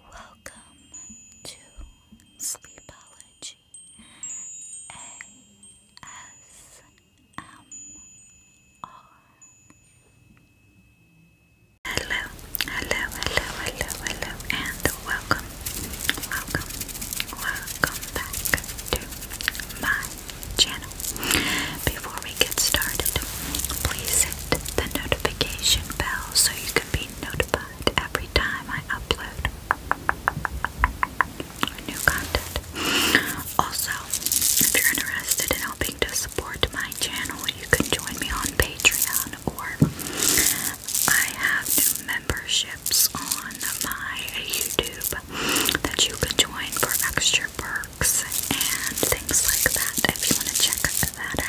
Welcome to Sleepology ASMR. Hello, hello, hello, hello, hello, and welcome, welcome, welcome back to my channel. Before we get started, please hit the notification bell so you can be notified every time I upload new content. Also, if you're interested in helping to support my channel, you can join me on Patreon or I have memberships on my YouTube that you can join for extra perks and things like that if you want to check that out.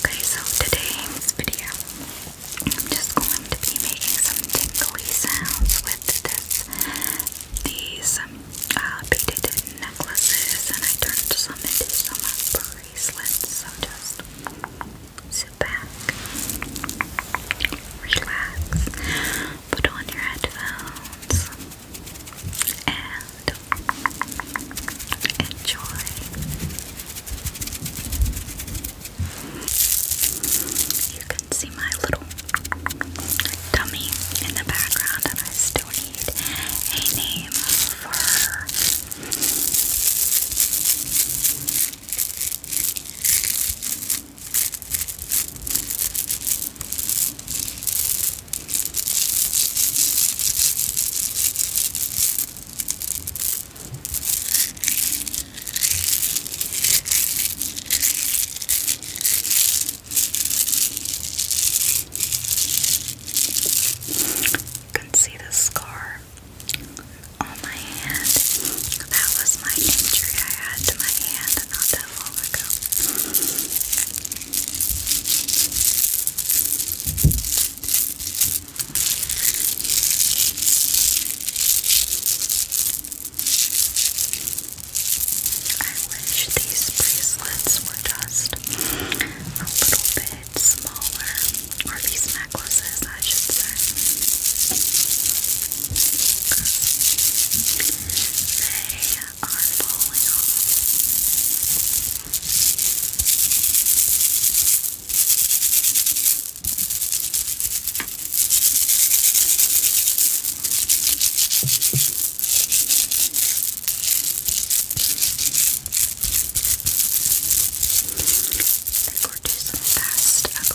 Okay, so today's video, I'm just going to be making some tinkly sounds with this, these um, uh, beaded necklaces, and I turned some into some bracelets, so just sit back, relax, put on your headphones and enjoy. You can see my little dummy in the background, and I still need a name for you can see the scar on my hand. That was my injury I had to my hand not that I wish these bracelets were just a little bit smaller, or these necklaces, I should say. They are falling off. The cortisone fast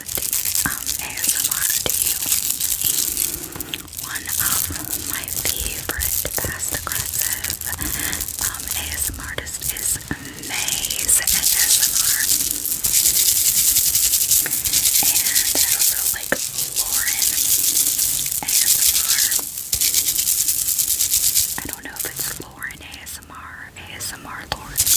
ASMR One of my favorite past aggressive ASMR um, artists is Maze ASMR. And also like Lauren ASMR. I don't know if it's Lauren ASMR our ASMR that's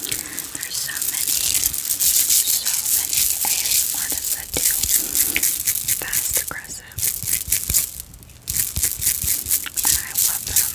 really good. There's so many, so many ASM artists that do fast aggressive. And I love them.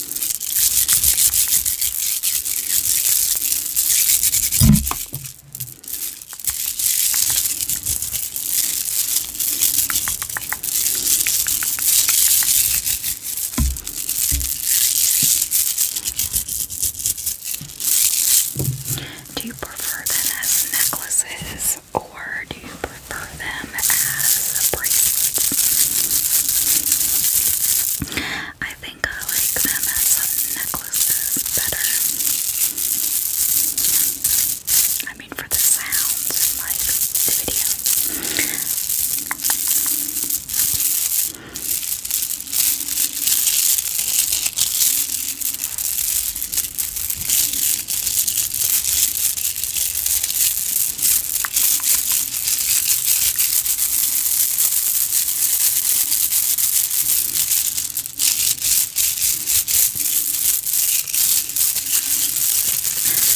Do you prefer them as necklaces or do you prefer refer them as bracelets. I think I like them as necklaces better. I mean, for the sounds, like the video.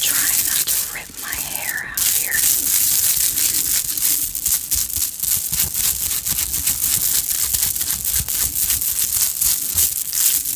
Trying not to rip my hair out here.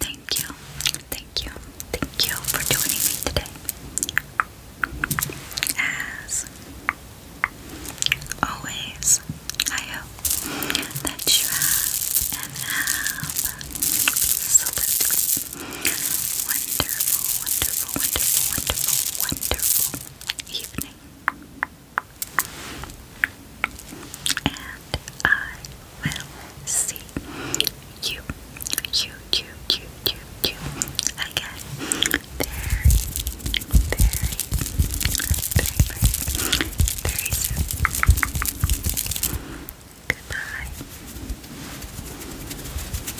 Thank you, thank you, thank you for joining me today. As always, I hope that you have and absolutely wonderful, wonderful, wonderful, wonderful, wonderful, evening. And I will see you, you, you, you, you, you again very, very, very, very soon. Goodbye.